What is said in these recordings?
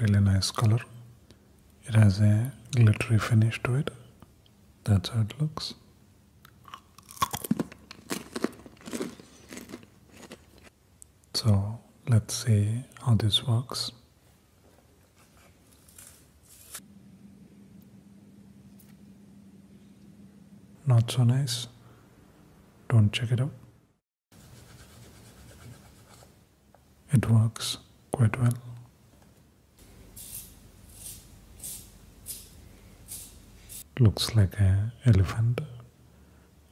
really nice color it has a glittery finish to it that's how it looks so let's see how this works not so nice don't check it out it works quite well. Looks like an elephant.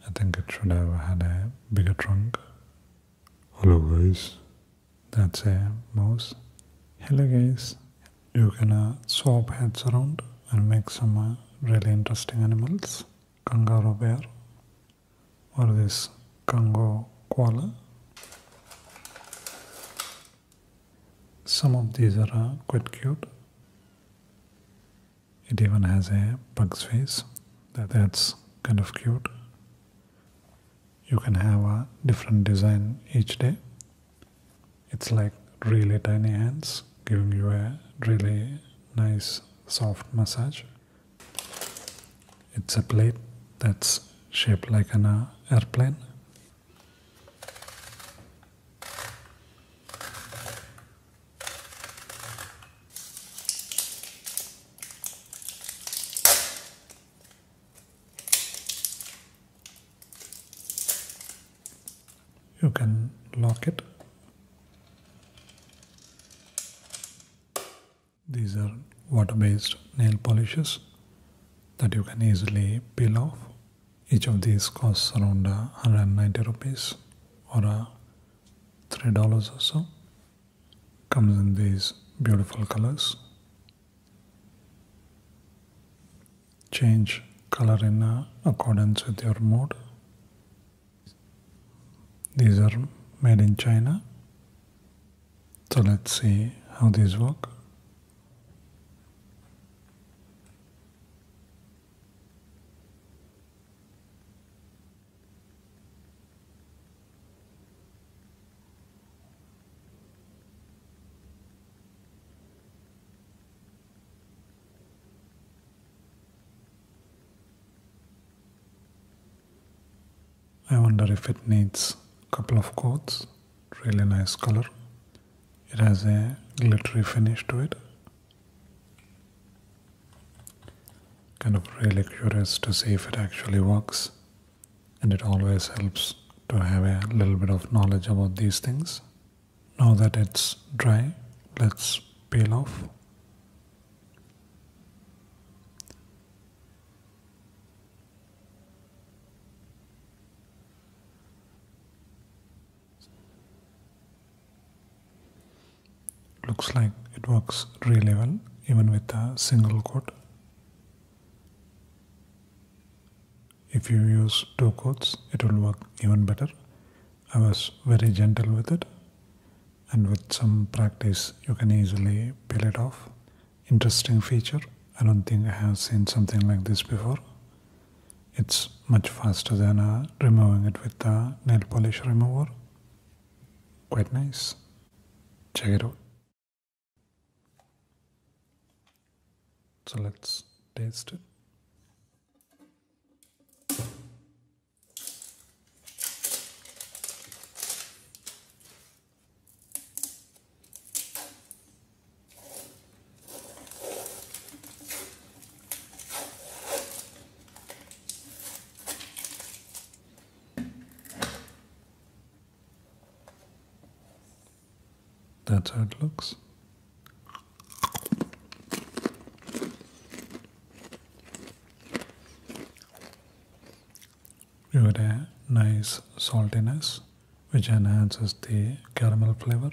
I think it should have had a bigger trunk. Hello guys. That's a mouse. Hello guys. You can swap heads around and make some uh, really interesting animals. Kangaroo bear what is this Congo koala some of these are uh, quite cute it even has a bug's face that, that's kind of cute you can have a different design each day it's like really tiny hands giving you a really nice soft massage it's a plate that's shaped like an airplane. You can lock it. These are water based nail polishes that you can easily peel off. Each of these costs around 190 rupees or $3 or so. Comes in these beautiful colors. Change color in accordance with your mood. These are made in China. So let's see how these work. I wonder if it needs a couple of coats. Really nice color. It has a glittery finish to it. Kind of really curious to see if it actually works. And it always helps to have a little bit of knowledge about these things. Now that it's dry, let's peel off Looks like it works really well even with a single quote. If you use two quotes, it will work even better. I was very gentle with it and with some practice you can easily peel it off. Interesting feature. I don't think I have seen something like this before. It's much faster than uh, removing it with the nail polish remover. Quite nice. Check it out. So let's taste it. That's how it looks. With a nice saltiness which enhances the caramel flavor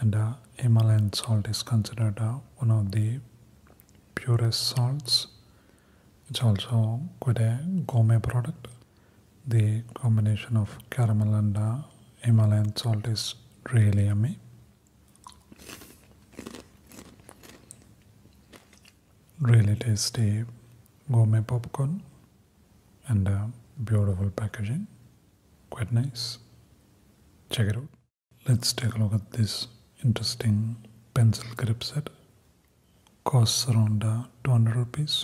and uh, Himalayan salt is considered uh, one of the purest salts. It's also quite a gourmet product. The combination of caramel and uh, Himalayan salt is really yummy really tasty gourmet popcorn and beautiful packaging quite nice check it out let's take a look at this interesting pencil grip set costs around uh, 200 rupees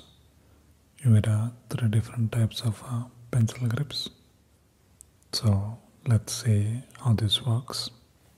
you get uh, three different types of uh, pencil grips so let's see how this works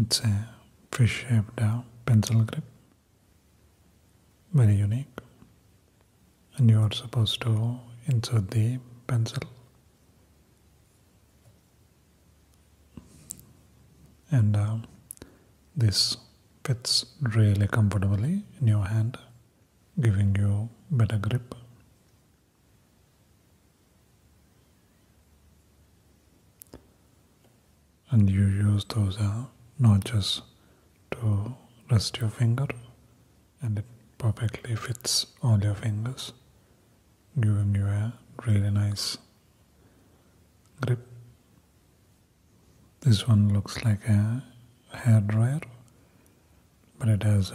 It's a fish shaped uh, pencil grip, very unique. And you are supposed to insert the pencil and uh, this fits really comfortably in your hand giving you better grip and you use those uh, notches to rest your finger and it perfectly fits all your fingers giving you a really nice grip. This one looks like a hair dryer, but it has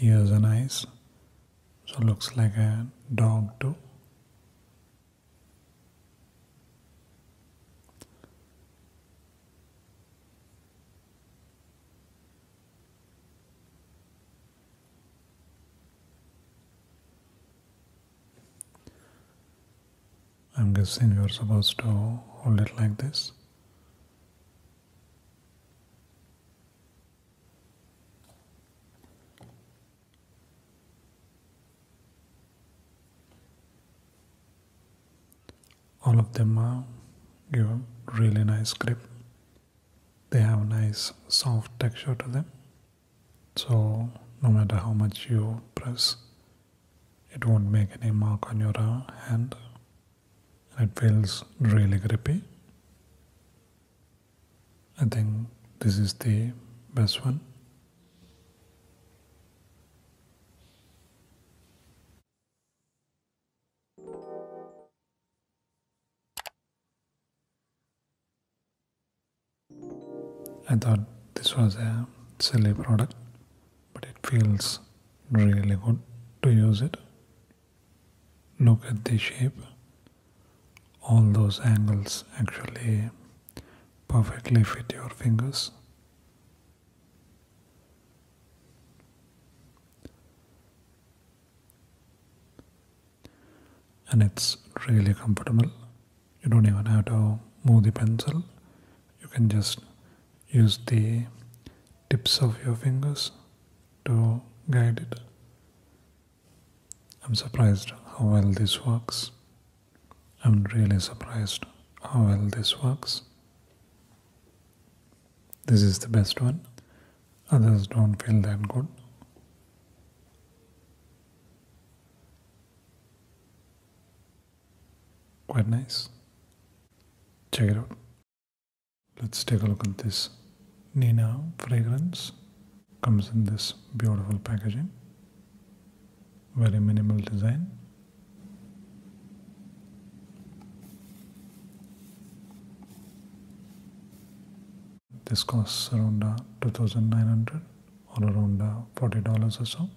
ears and eyes, so looks like a dog too. I'm guessing you're supposed to hold it like this. All of them are give really nice grip. They have a nice soft texture to them. So no matter how much you press, it won't make any mark on your hand and it feels really grippy. I think this is the best one. I thought this was a silly product, but it feels really good to use it. Look at the shape. All those angles actually perfectly fit your fingers and it's really comfortable. You don't even have to move the pencil, you can just use the tips of your fingers to guide it. I'm surprised how well this works. I'm really surprised how well this works. This is the best one. Others don't feel that good. Quite nice. Check it out. Let's take a look at this Nina fragrance. Comes in this beautiful packaging. Very minimal design. This costs around uh, 2900 or around uh, $40 or so.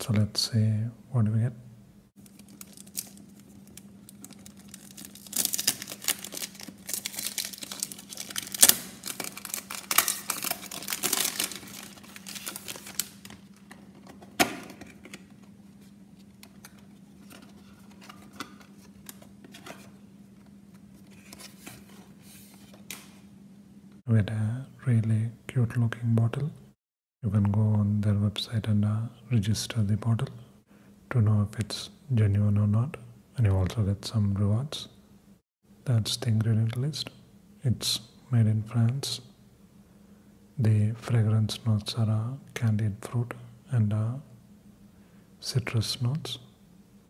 So let's see what do we get with a really cute looking bottle you can go on their website and uh, register the bottle to know if it's genuine or not and you also get some rewards that's the ingredient list it's made in france the fragrance notes are uh, candied fruit and uh, citrus notes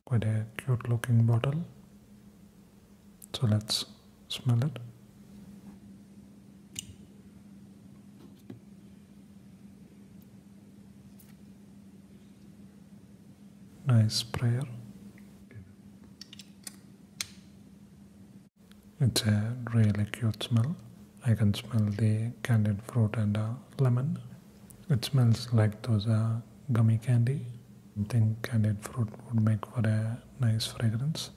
quite a cute looking bottle so let's smell it nice sprayer it's a really cute smell I can smell the candied fruit and uh, lemon it smells like those uh, gummy candy. I think candied fruit would make for a nice fragrance.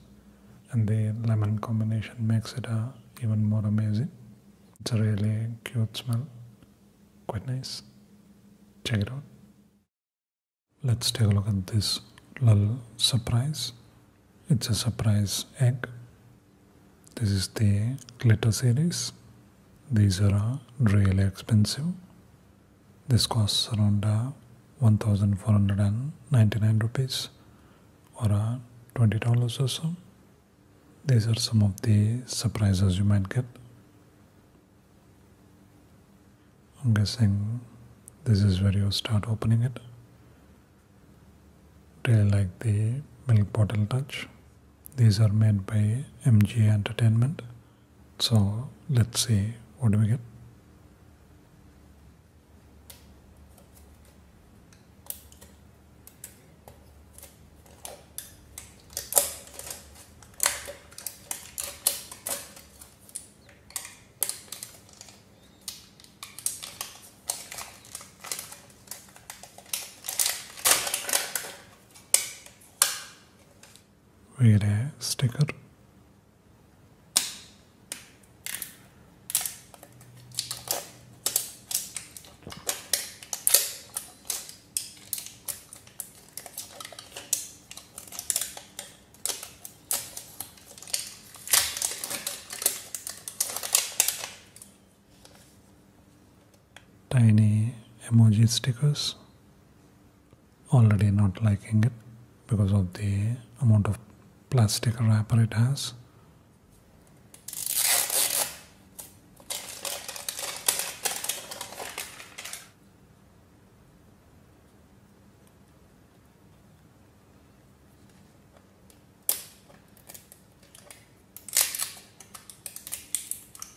And the lemon combination makes it uh, even more amazing. It's a really cute smell. Quite nice. Check it out. Let's take a look at this little surprise. It's a surprise egg. This is the glitter series. These are uh, really expensive. This costs around uh, 1499 rupees or uh, $20 or so. These are some of the surprises you might get. I'm guessing this is where you start opening it. Really like the milk bottle touch. These are made by MG Entertainment. So let's see what do we get. We sticker tiny emoji stickers. Already not liking it because of the amount of plastic wrapper it has.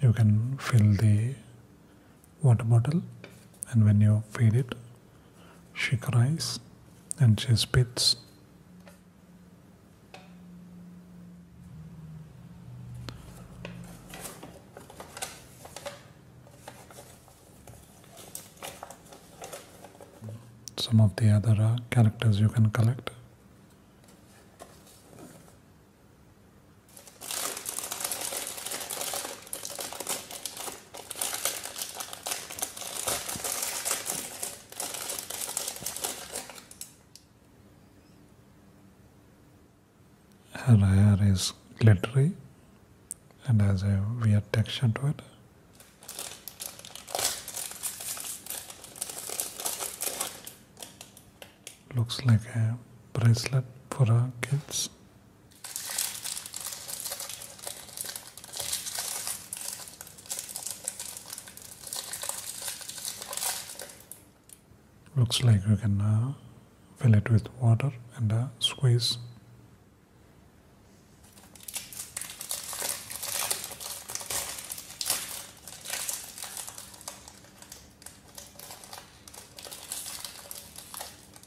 you can fill the water bottle and when you feed it she cries and she spits. Some of the other uh, characters you can collect. Her hair is glittery and has a weird texture to it. Looks like a bracelet for our kids. Looks like you can uh, fill it with water and uh, squeeze.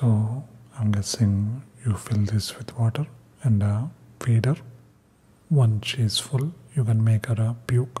So I'm guessing you fill this with water and a feeder. Once she is full, you can make her a puke.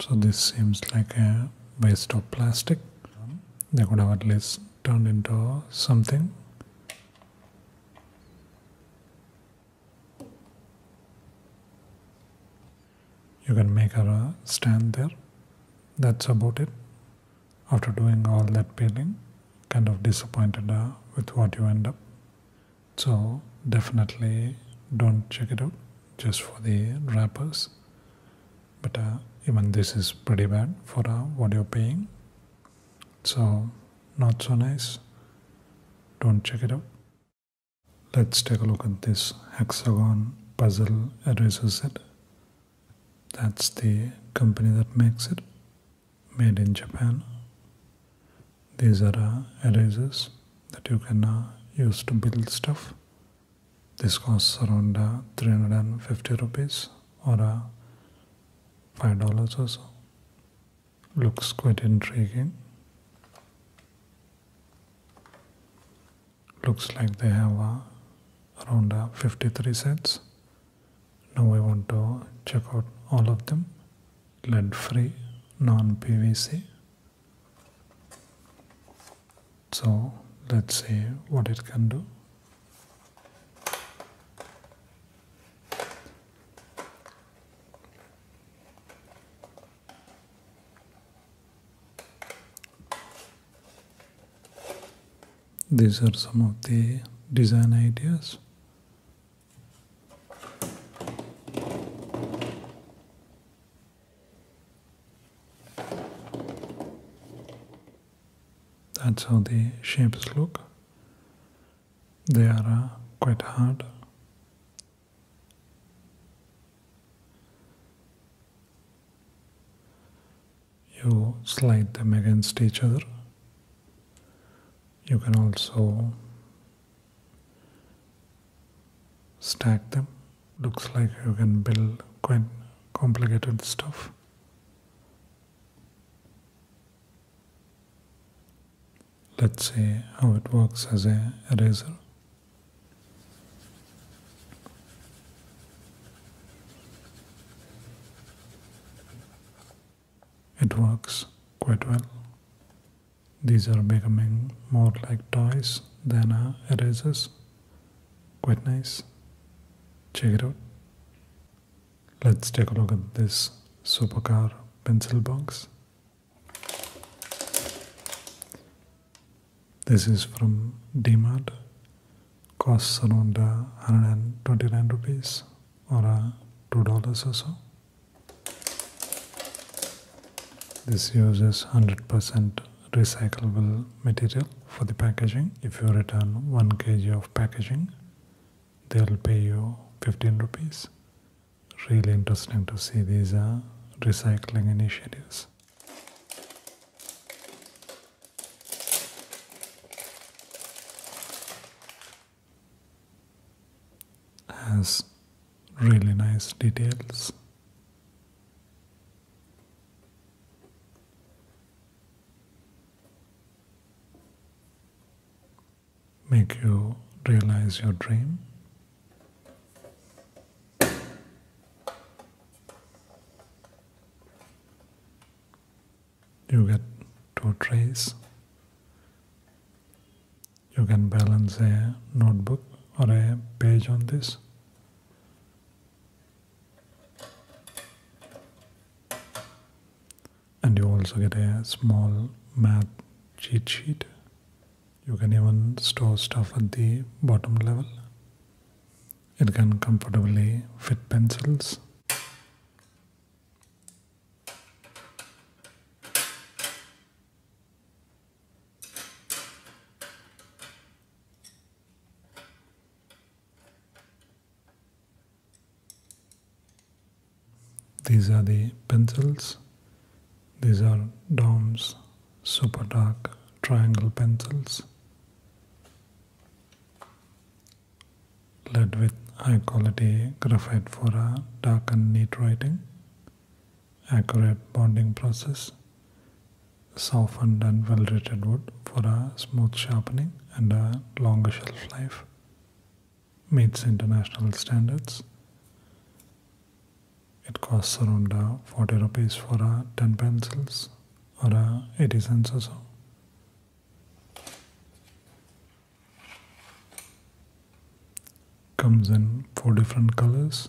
So this seems like a waste of plastic. They could have at least turned into something. You can make a stand there. That's about it. After doing all that peeling, kind of disappointed with what you end up. So definitely don't check it out just for the wrappers but uh, even this is pretty bad for uh, what you're paying so not so nice don't check it out let's take a look at this hexagon puzzle erasers set that's the company that makes it made in japan these are uh, erasers that you can uh, use to build stuff this costs around uh, 350 rupees or uh, $5 or so. Looks quite intriguing. Looks like they have uh, around uh, 53 sets. Now I want to check out all of them. Lead free, non PVC, so let's see what it can do. These are some of the design ideas. That's how the shapes look. They are uh, quite hard. You slide them against each other. You can also stack them. Looks like you can build quite complicated stuff. Let's see how it works as a eraser. It works quite well. These are becoming more like toys than erasers quite nice. Check it out. Let's take a look at this supercar pencil box. This is from DMart. Costs around uh, 129 rupees or uh, $2 or so. This uses 100% recyclable material for the packaging. If you return 1 kg of packaging, they will pay you 15 rupees. Really interesting to see these are uh, recycling initiatives. As really nice details. Make you realize your dream. You get two trays. You can balance a notebook or a page on this and you also get a small math cheat sheet you can even store stuff at the bottom level it can comfortably fit pencils these are the pencils. These are DOMS super dark triangle pencils. Lead with high quality graphite for a dark and neat writing accurate bonding process, softened and well-rated wood for a smooth sharpening and a longer shelf life, meets international standards. It costs around uh, 40 rupees for uh, 10 pencils or uh, 80 cents or so. Comes in four different colors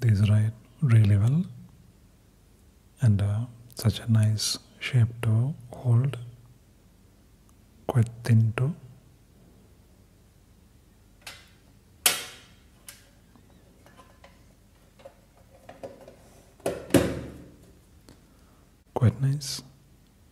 These ride really well and uh, such a nice shape to hold, quite thin too. Quite nice.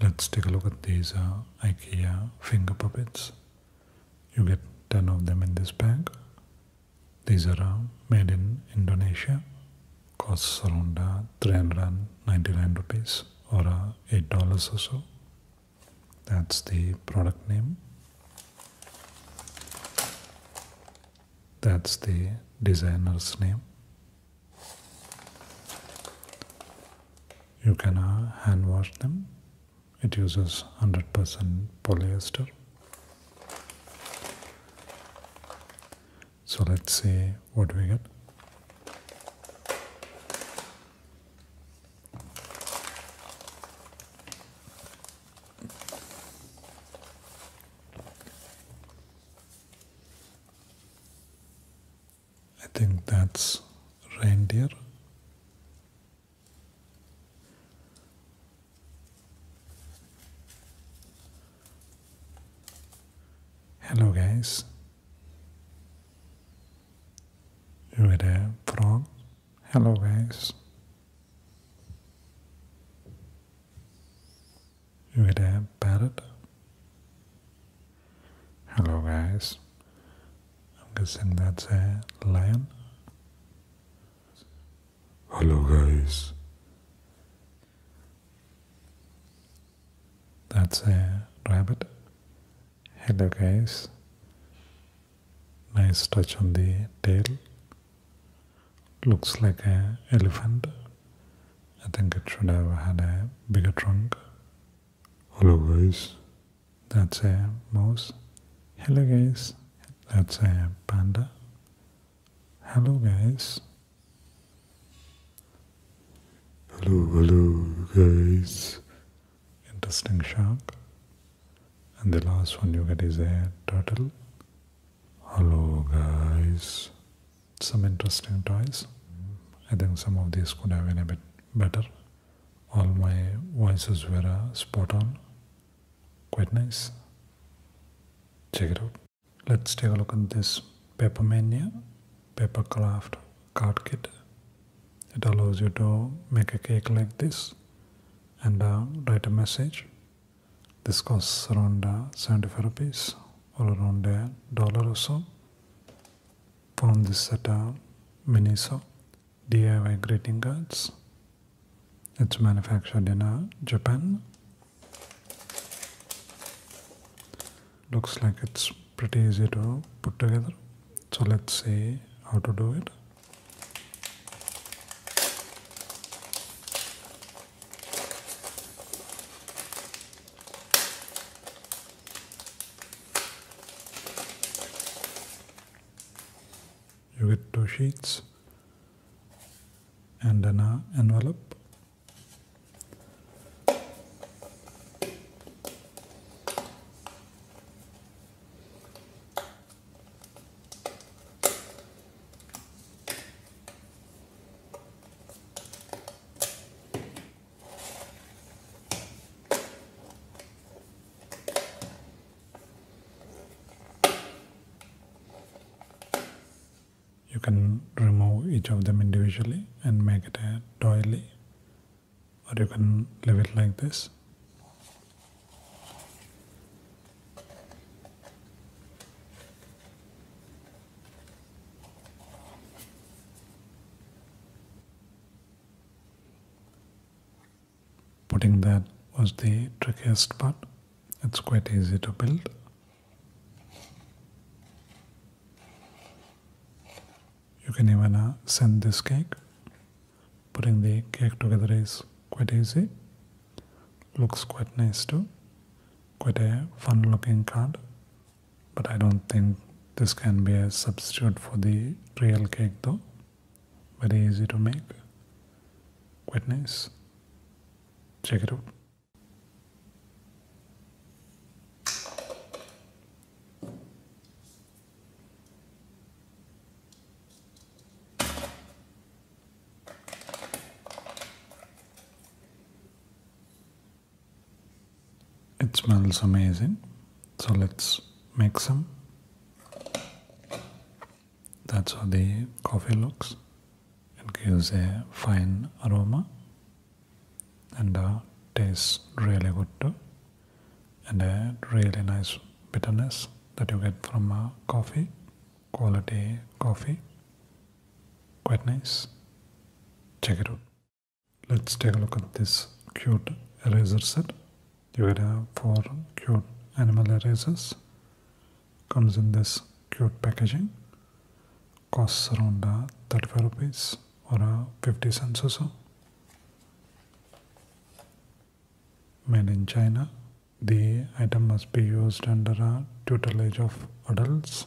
Let's take a look at these uh, IKEA finger puppets. You get 10 of them in this bag. These are uh, made in Indonesia. Costs around uh, 399 rupees or $8 or so. That's the product name. That's the designer's name. You can uh, hand wash them. It uses 100% polyester. So let's see what we get. I think that's reindeer. Hello, guys. You there, frog. Hello, guys. You get battered. Hello guys. I'm guessing that's a lion. Hello guys. That's a rabbit. Hello guys. Nice touch on the tail looks like an elephant. I think it should have had a bigger trunk. Hello guys. That's a mouse. Hello guys. That's a panda. Hello guys. Hello, hello guys. Interesting shark. And the last one you get is a turtle. Hello guys some interesting toys. I think some of these could have been a bit better. All my voices were uh, spot on. Quite nice. Check it out. Let's take a look at this Papermania craft card kit. It allows you to make a cake like this and uh, write a message this costs around uh, 75 rupees or around a uh, dollar or so. Found this at uh, Miniso DIY greeting cards. It's manufactured in uh, Japan. Looks like it's pretty easy to put together. So let's see how to do it. You get two sheets and an uh, envelope. You can remove each of them individually and make it a doily or you can leave it like this Putting that was the trickiest part. It's quite easy to build. You can even uh, send this cake. Putting the cake together is quite easy. Looks quite nice too quite a fun looking card but I don't think this can be a substitute for the real cake though very easy to make quite nice check it out it smells amazing. So let's make some. That's how the coffee looks. It gives a fine aroma and uh, tastes really good too. And a really nice bitterness that you get from uh, coffee quality coffee. Quite nice. Check it out. Let's take a look at this cute eraser set. You get have four cute animal erasers. Comes in this cute packaging. Costs around uh, 35 rupees or uh, 50 cents or so. Made in China. The item must be used under a uh, tutelage of adults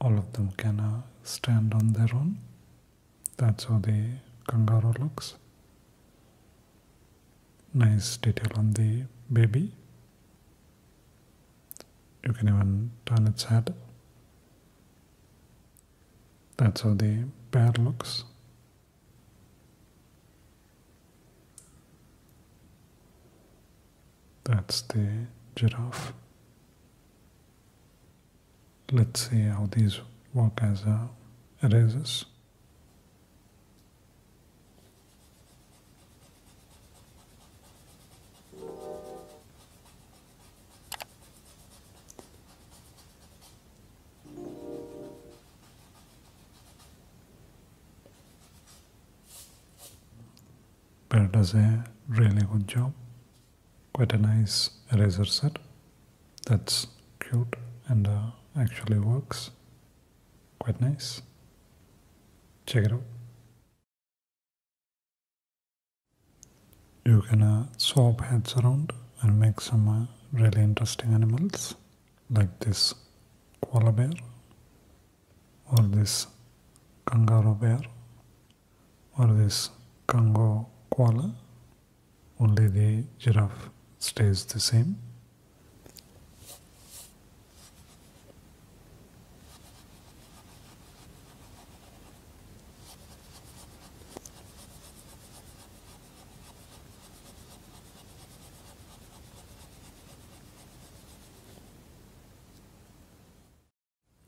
all of them can uh, stand on their own. That's how the kangaroo looks. Nice detail on the baby. You can even turn its head. That's how the bear looks. That's the giraffe. Let's see how these work as uh, erasers. Bear does a really good job quite a nice eraser set that's cute and uh, actually works quite nice check it out you can uh, swap heads around and make some uh, really interesting animals like this koala bear or this kangaroo bear or this Congo koala. Only the giraffe stays the same.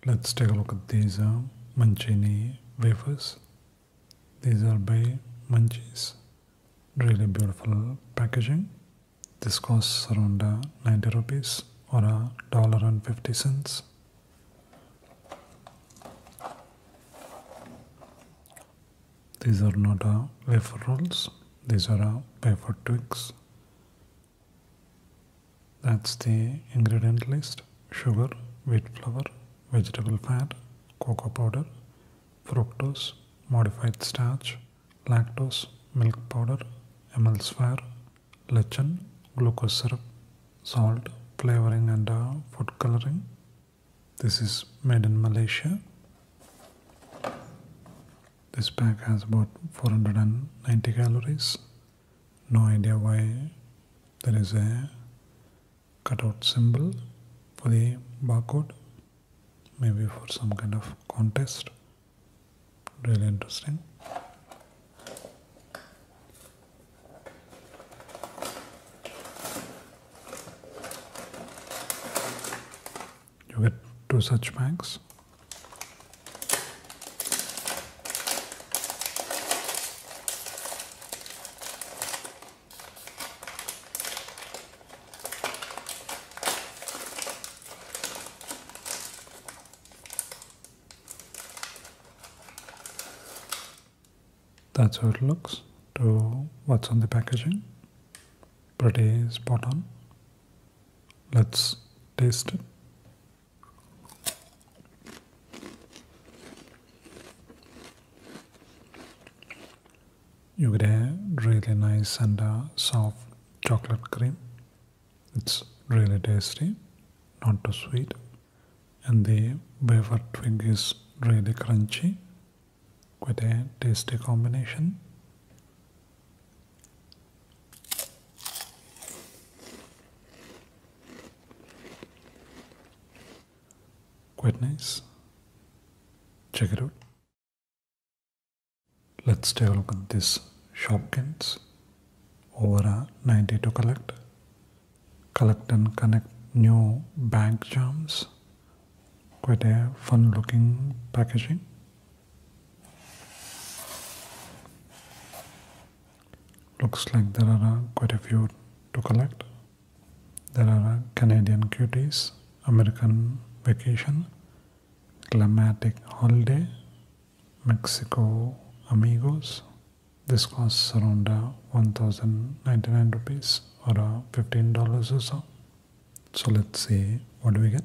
Let's take a look at these uh, Mancini wafers. These are by Munchies. Really beautiful packaging. This costs around uh, 90 rupees or a dollar and 50 cents. These are not uh, wafer rolls. These are uh, wafer twigs. That's the ingredient list sugar, wheat flour, vegetable fat, cocoa powder, fructose, modified starch, lactose, milk powder, emulsifier, lecithin, glucose syrup, salt, flavoring and uh, food coloring. This is made in Malaysia. This pack has about 490 calories no idea why there is a cutout symbol for the barcode. Maybe for some kind of contest. Really interesting. You get two such bags that's how it looks to what's on the packaging. Pretty spot on. Let's taste it. You get a really nice and uh, soft chocolate cream. It's really tasty, not too sweet, and the wafer twig is really crunchy. Quite a tasty combination. Quite nice. Check it out. Let's take a look at this Shopkins over 90 to collect. Collect and connect new bag charms. Quite a fun looking packaging. Looks like there are uh, quite a few to collect. There are uh, Canadian Cuties, American Vacation, Climatic Holiday, Mexico Amigos. This costs around uh, 1099 rupees or uh, $15 or so. So let's see what do we get.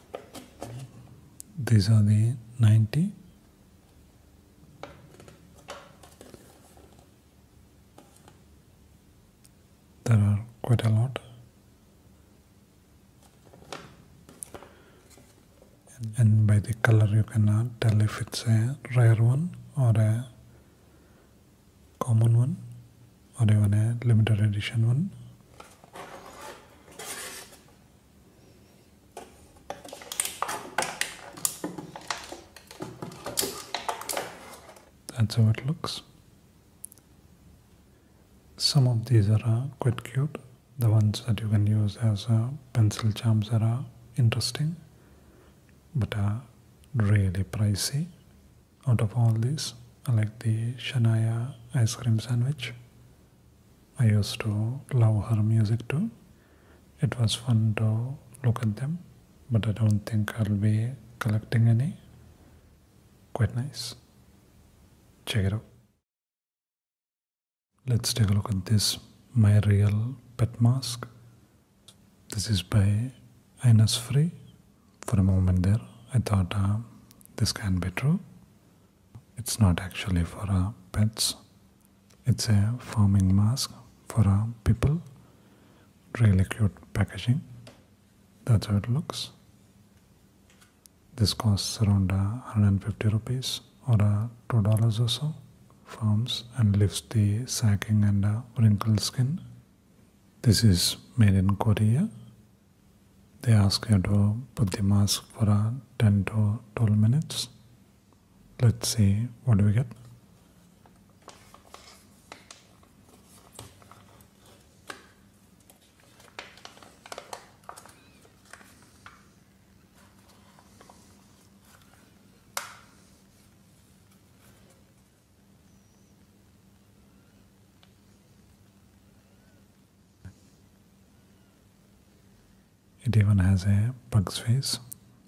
these are the 90 there are quite a lot and, and by the color you cannot tell if it's a rare one or a common one or even a limited edition one That's how it looks. Some of these are uh, quite cute. The ones that you can use as uh, pencil charms are uh, interesting, but are really pricey. Out of all these, I like the Shanaya ice cream sandwich. I used to love her music too. It was fun to look at them, but I don't think I'll be collecting any. Quite nice. Check it out. Let's take a look at this My Real Pet Mask. This is by Ines Free. For a moment there, I thought uh, this can not be true. It's not actually for uh, pets. It's a farming mask for uh, people. Really cute packaging. That's how it looks. This costs around uh, 150 rupees or uh, $2 or so. Forms and lifts the sacking and uh, wrinkled skin. This is made in Korea they ask you to put the mask for uh, 10 to 12 minutes. Let's see what do we get. It even has a bug's face.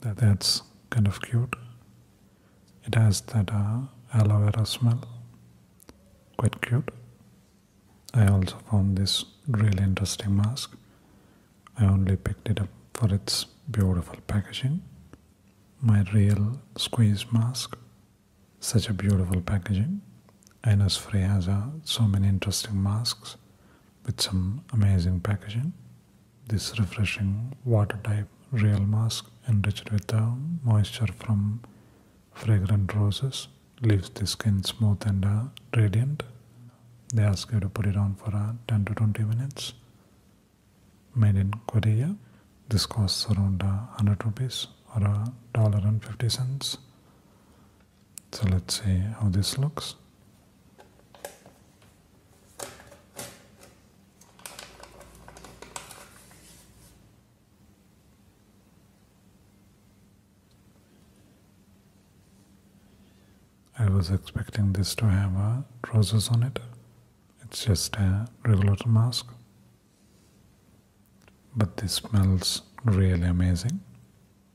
That, that's kind of cute. It has that uh, aloe vera smell. Quite cute. I also found this really interesting mask. I only picked it up for its beautiful packaging. My real squeeze mask. Such a beautiful packaging. And as has uh, so many interesting masks with some amazing packaging. This refreshing water type real mask enriched with the uh, moisture from fragrant roses leaves the skin smooth and uh, radiant. They ask you to put it on for 10 to 20 minutes. Made in Korea. This costs around uh, 100 rupees or a dollar and 50 cents. So let's see how this looks. I was expecting this to have uh, roses on it. It's just a regular mask but this smells really amazing.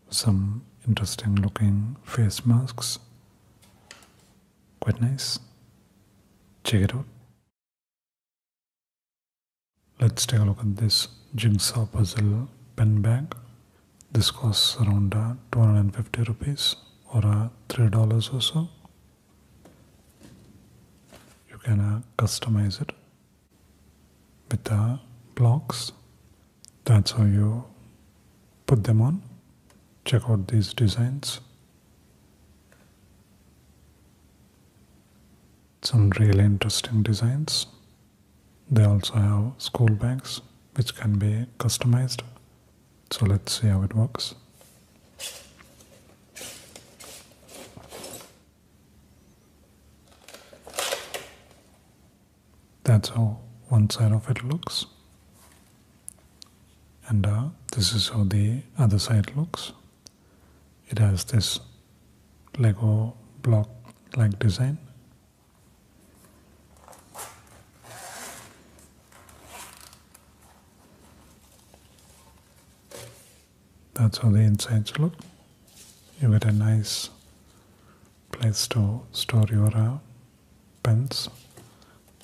Some interesting looking face masks. Quite nice. Check it out. Let's take a look at this jigsaw puzzle pen bag. This costs around uh, 250 rupees or uh, $3 or so. You can uh, customize it with the blocks. That's how you put them on. Check out these designs. Some really interesting designs. They also have school bags which can be customized. So let's see how it works. That's how one side of it looks. And uh, this is how the other side looks. It has this Lego block like design. That's how the insides look. You get a nice place to store your uh, pens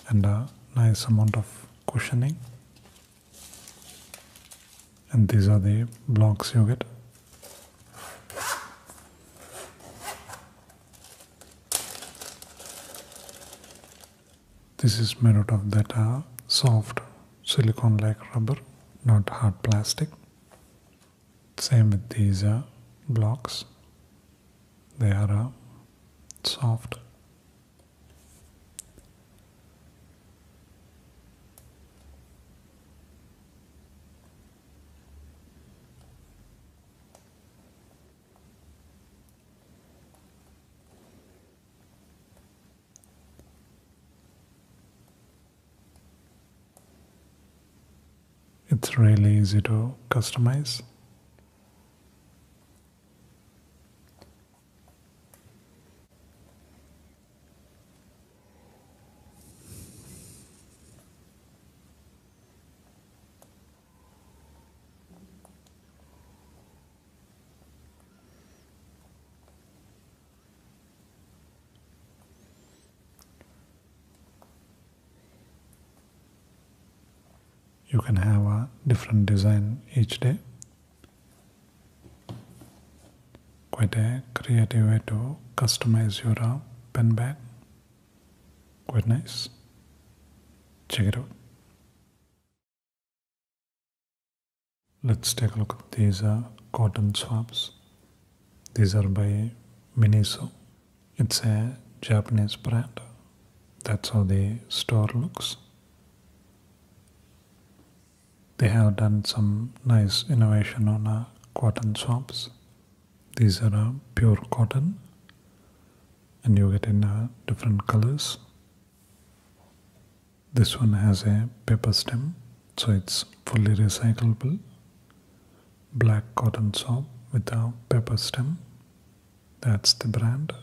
and a nice amount of cushioning and these are the blocks you get this is made out of that uh, soft silicone like rubber not hard plastic same with these uh, blocks. They are uh, soft. It's really easy to customize. You can have a different design each day. Quite a creative way to customize your uh, pen bag. Quite nice. Check it out. Let's take a look at these uh, cotton swabs. These are by Miniso. It's a Japanese brand. That's how the store looks. They have done some nice innovation on uh, cotton swabs. These are uh, pure cotton and you get in uh, different colors. This one has a paper stem so it's fully recyclable black cotton soap with a pepper stem that's the brand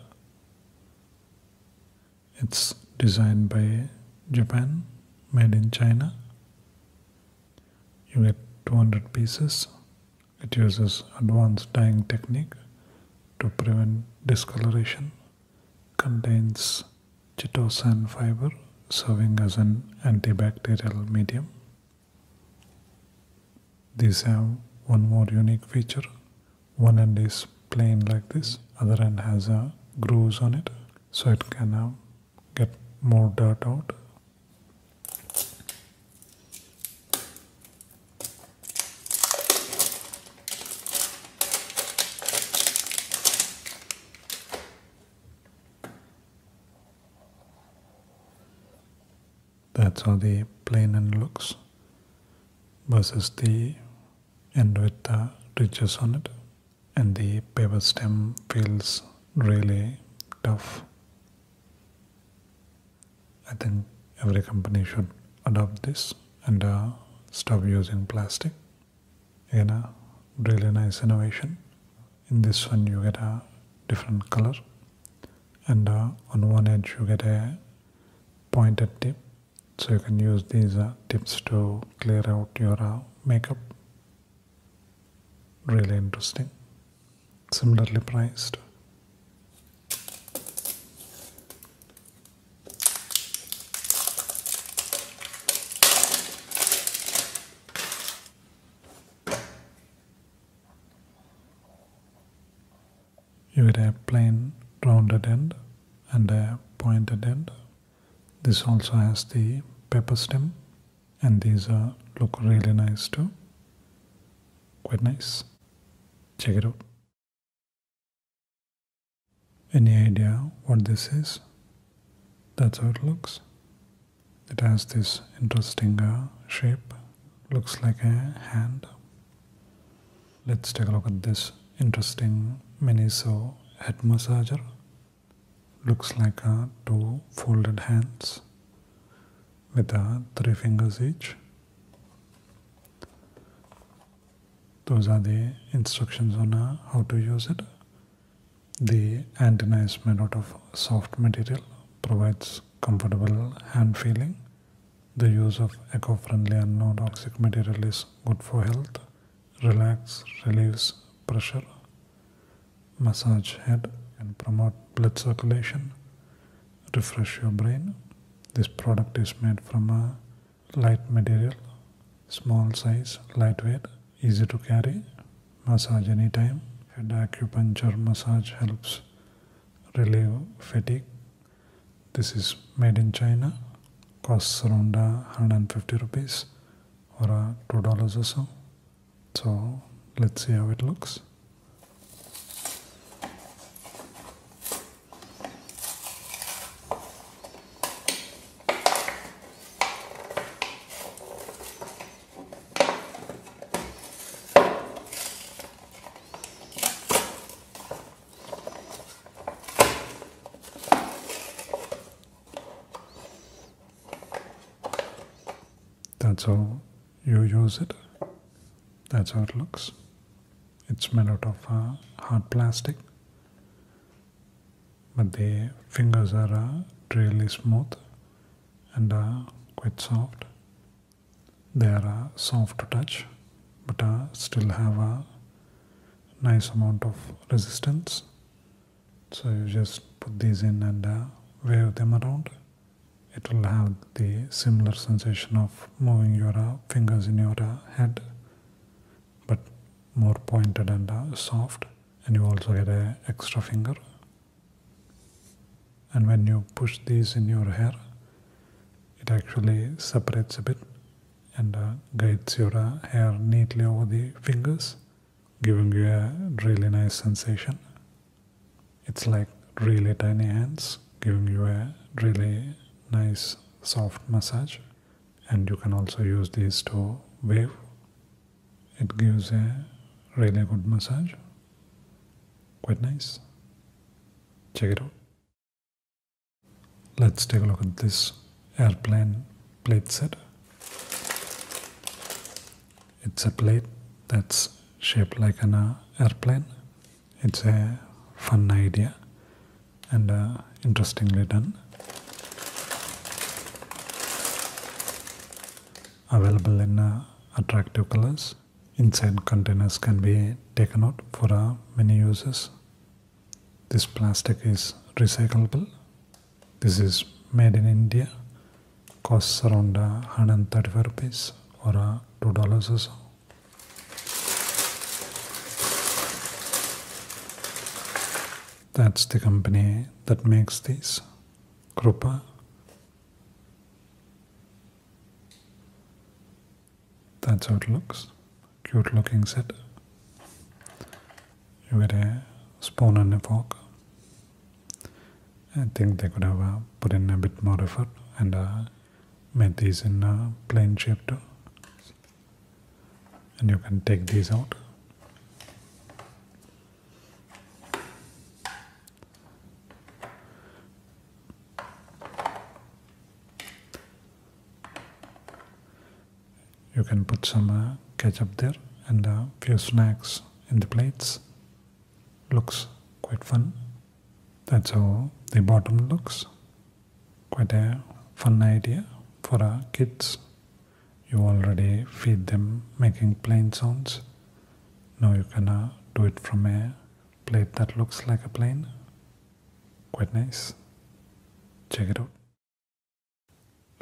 it's designed by Japan made in China you get 200 pieces it uses advanced dyeing technique to prevent discoloration contains chitosan fiber serving as an antibacterial medium. These have one more unique feature. One end is plain like this, other end has a grooves on it so it can uh, get more dirt out. That's how the plain end looks versus the end with the ridges on it and the paper stem feels really tough. I think every company should adopt this and uh, stop using plastic you know, really nice innovation. In this one you get a different color and uh, on one edge you get a pointed tip. So you can use these uh, tips to clear out your uh, makeup. Really interesting. Similarly priced. You get a plain rounded end and a pointed end. This also has the pepper stem and these look really nice too. Quite nice. Check it out. Any idea what this is? That's how it looks. It has this interesting uh, shape, looks like a hand. Let's take a look at this interesting mini Miniso head massager. Looks like uh, two folded hands with uh, three fingers each. Those are the instructions on uh, how to use it. The antenna is made out of soft material, provides comfortable hand feeling. The use of eco-friendly and non-toxic material is good for health, relax, relieves pressure, massage head and promote blood circulation, refresh your brain. This product is made from a light material, small size, lightweight, easy to carry, massage anytime. Head acupuncture massage helps relieve fatigue. This is made in China, costs around 150 rupees or uh, $2 or so. So let's see how it looks. That's how you use it. That's how it looks. It's made out of uh, hard plastic but the fingers are uh, really smooth and uh, quite soft. They are uh, soft to touch but uh, still have a nice amount of resistance. So you just put these in and wave them around. It will have the similar sensation of moving your fingers in your head but more pointed and soft and you also get an extra finger and when you push these in your hair it actually separates a bit and uh, guides your uh, hair neatly over the fingers giving you a really nice sensation it's like really tiny hands giving you a really nice soft massage and you can also use these to wave it gives a really good massage. Quite nice. Check it out. Let's take a look at this airplane plate set. It's a plate that's shaped like an uh, airplane. It's a fun idea and uh, interestingly done available in uh, attractive colors. Inside containers can be taken out for uh, many uses. This plastic is recyclable. This is made in India. Costs around uh, 135 rupees or uh, $2 or so. That's the company that makes these. Крупа. That's how it looks. Cute looking set. You get a spoon and a fork. I think they could have uh, put in a bit more effort and uh, made these in a plain shape too. And you can take these out. You can put some uh, ketchup there and a few snacks in the plates. Looks quite fun. That's how the bottom looks. Quite a fun idea for our uh, kids you already feed them making plane sounds. Now you can uh, do it from a plate that looks like a plane. Quite nice. Check it out.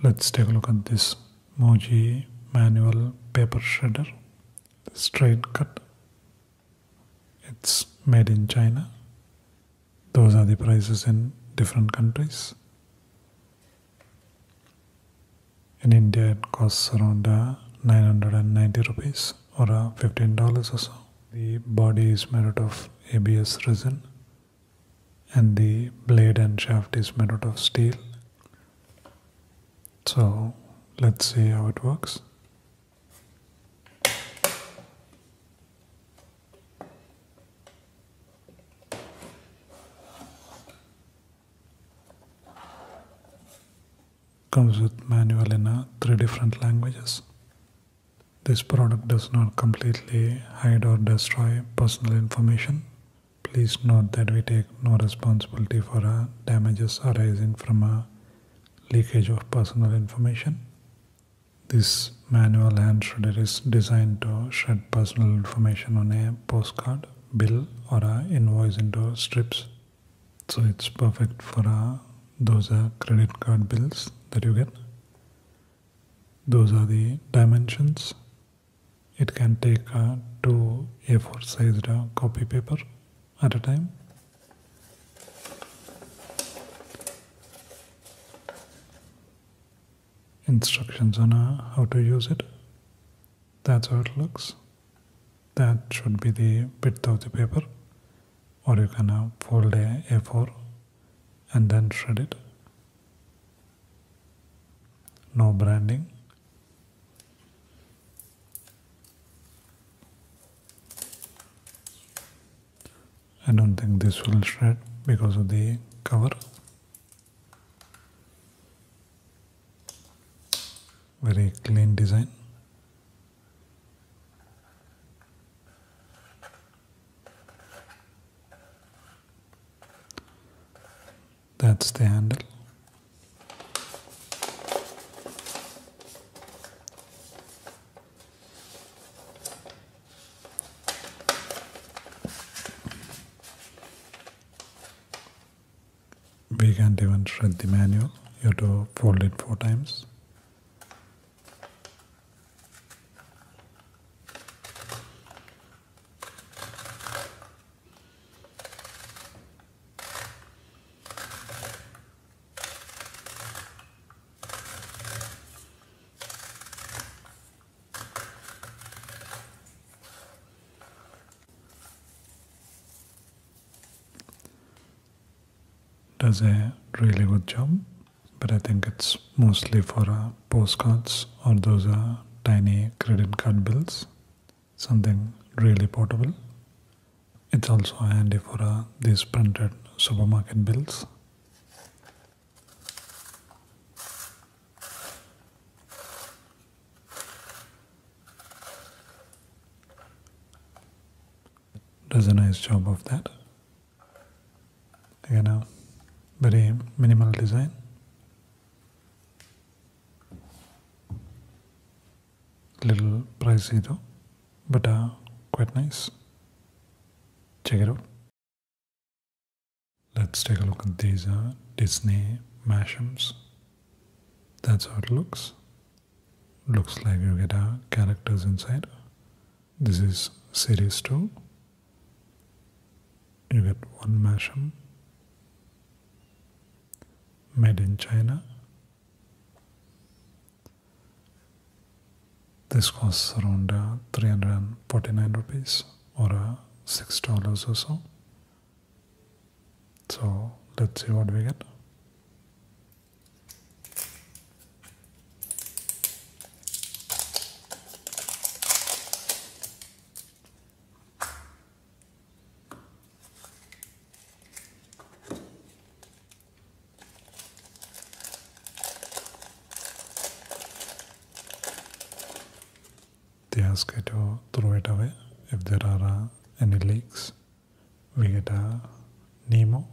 Let's take a look at this Moji manual paper shredder. Straight cut. It's made in China. Those are the prices in different countries in India it costs around uh, 990 rupees or uh, $15 or so. The body is made out of ABS resin and the blade and shaft is made out of steel. So let's see how it works. Comes with manual in uh, three different languages. This product does not completely hide or destroy personal information. Please note that we take no responsibility for uh, damages arising from a leakage of personal information. This manual hand shredder is designed to shred personal information on a postcard. bill or a invoice into strips so it's perfect for uh, those uh, credit card bills that you get those are the dimensions it can take uh, two a4 sized uh, copy paper at a time instructions on uh, how to use it. That's how it looks. That should be the width of the paper or you can uh, fold a A4 and then shred it. No branding. I don't think this will shred because of the cover very clean design that's the handle we can't even shred the manual you have to fold it four times does a really good job, but I think it's mostly for uh, postcards or those are uh, tiny credit card bills. Something really portable. It's also handy for uh, these printed supermarket bills. Does a nice job of that. You know, very minimal design. Little pricey though, but uh, quite nice. Check it out. Let's take a look at these uh, Disney mashems. That's how it looks. Looks like you get uh, characters inside. This is series 2. You get one mashem. Made in China. This costs around uh, 349 rupees or $6 or so. So let's see what we get they ask you to throw it away if there are any leaks we get a nemo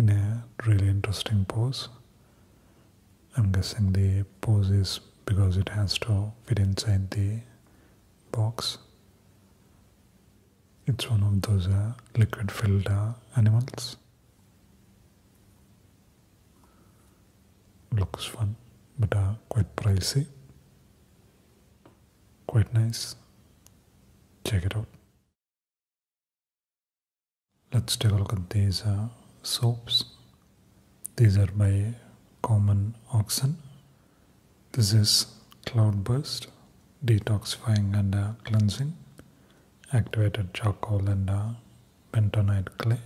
in a really interesting pose i'm guessing the pose is because it has to fit inside the box it's one of those uh, liquid filled uh, animals Looks fun, but uh, quite pricey. Quite nice. Check it out. Let's take a look at these uh, soaps. These are by Common Oxen. This is Cloud Burst, detoxifying and uh, cleansing, activated charcoal and uh, bentonite clay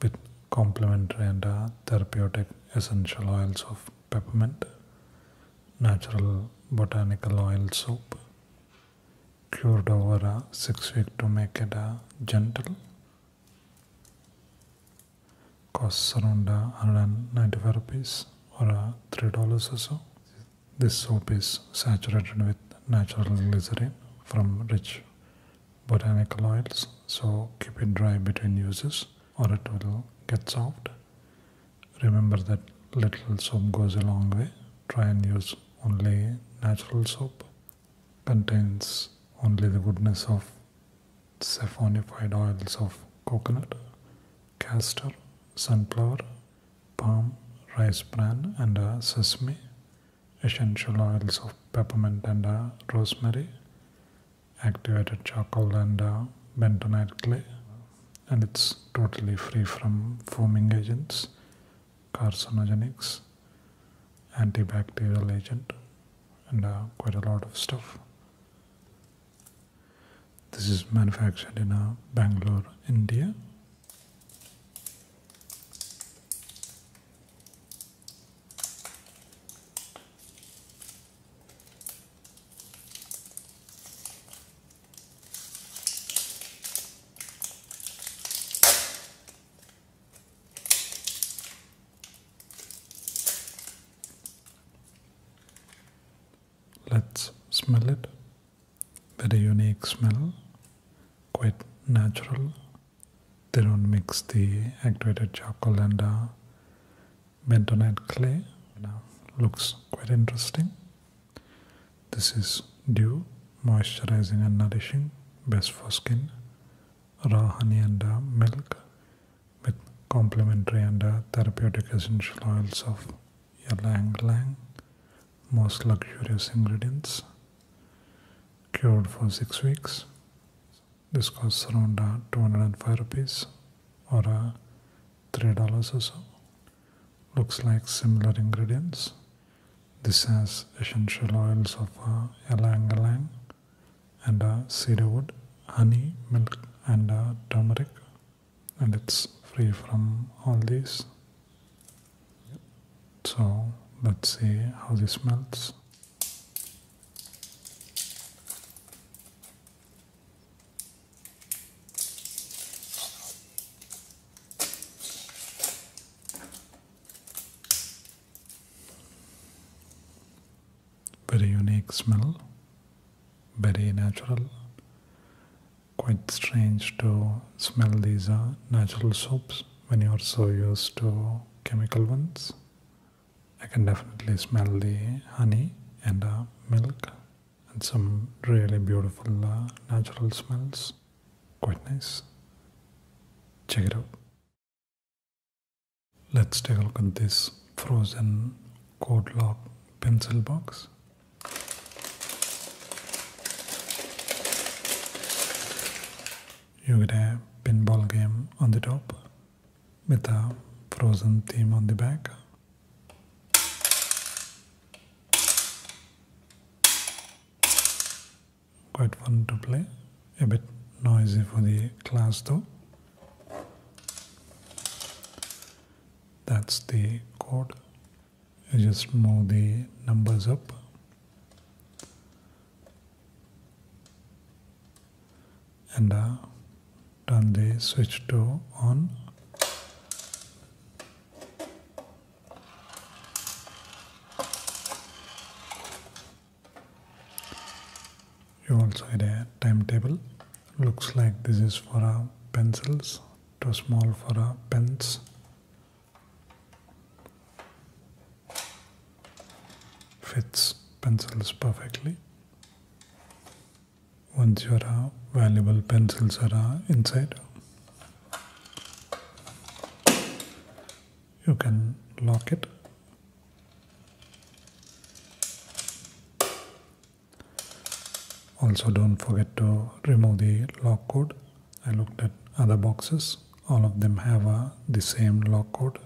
with complementary and uh, therapeutic essential oils of peppermint, natural botanical oil soap, cured over a uh, 6 week to make it a uh, gentle. Costs around uh, 195 rupees or $3 or so. This soap is saturated with natural glycerin from rich botanical oils so keep it dry between uses or it will get soft remember that little soap goes a long way try and use only natural soap contains only the goodness of saponified oils of coconut castor sunflower palm rice bran and uh, sesame essential oils of peppermint and uh, rosemary, activated charcoal and uh, bentonite clay, and it's totally free from foaming agents, carcinogenics, antibacterial agent, and uh, quite a lot of stuff. This is manufactured in Bangalore, India. Let's smell it. Very unique smell, quite natural they don't mix the activated charcoal and uh, bentonite clay. Now, looks quite interesting. This is dew, moisturizing and nourishing, best for skin, raw honey and uh, milk with complementary and uh, therapeutic essential oils of ylang ylang, most luxurious ingredients cured for six weeks. This costs around uh, 205 rupees or uh, $3 or so. Looks like similar ingredients. This has essential oils of uh, ylang ylang and uh, cedarwood, honey, milk, and uh, turmeric, and it's free from all these. So let's see how this smells. Very unique smell, very natural. Quite strange to smell these uh, natural soaps when you are so used to chemical ones. I can definitely smell the honey and uh, milk and some really beautiful uh, natural smells. Quite nice. Check it out. Let's take a look at this frozen code lock pencil box you get a pinball game on the top with a frozen theme on the back. Quite fun to play, a bit noisy for the class though. That's the code. just move the numbers up and uh, turn the switch to on you also had a timetable looks like this is for our pencils too small for uh, pens fits pencils perfectly. Once your valuable pencils are inside, you can lock it. Also don't forget to remove the lock code. I looked at other boxes all of them have uh, the same lock code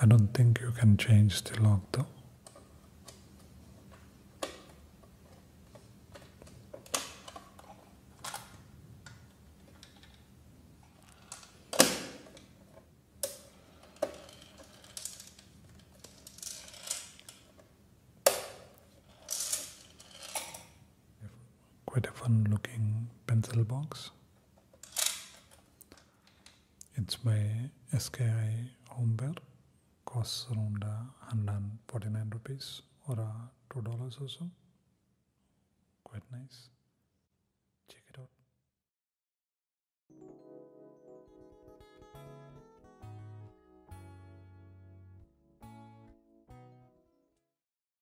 I don't think you can change the lock though quite a fun looking pencil box. It's my SKI Homeware, costs around 149 rupees or $2 or so. Quite nice. Check it out.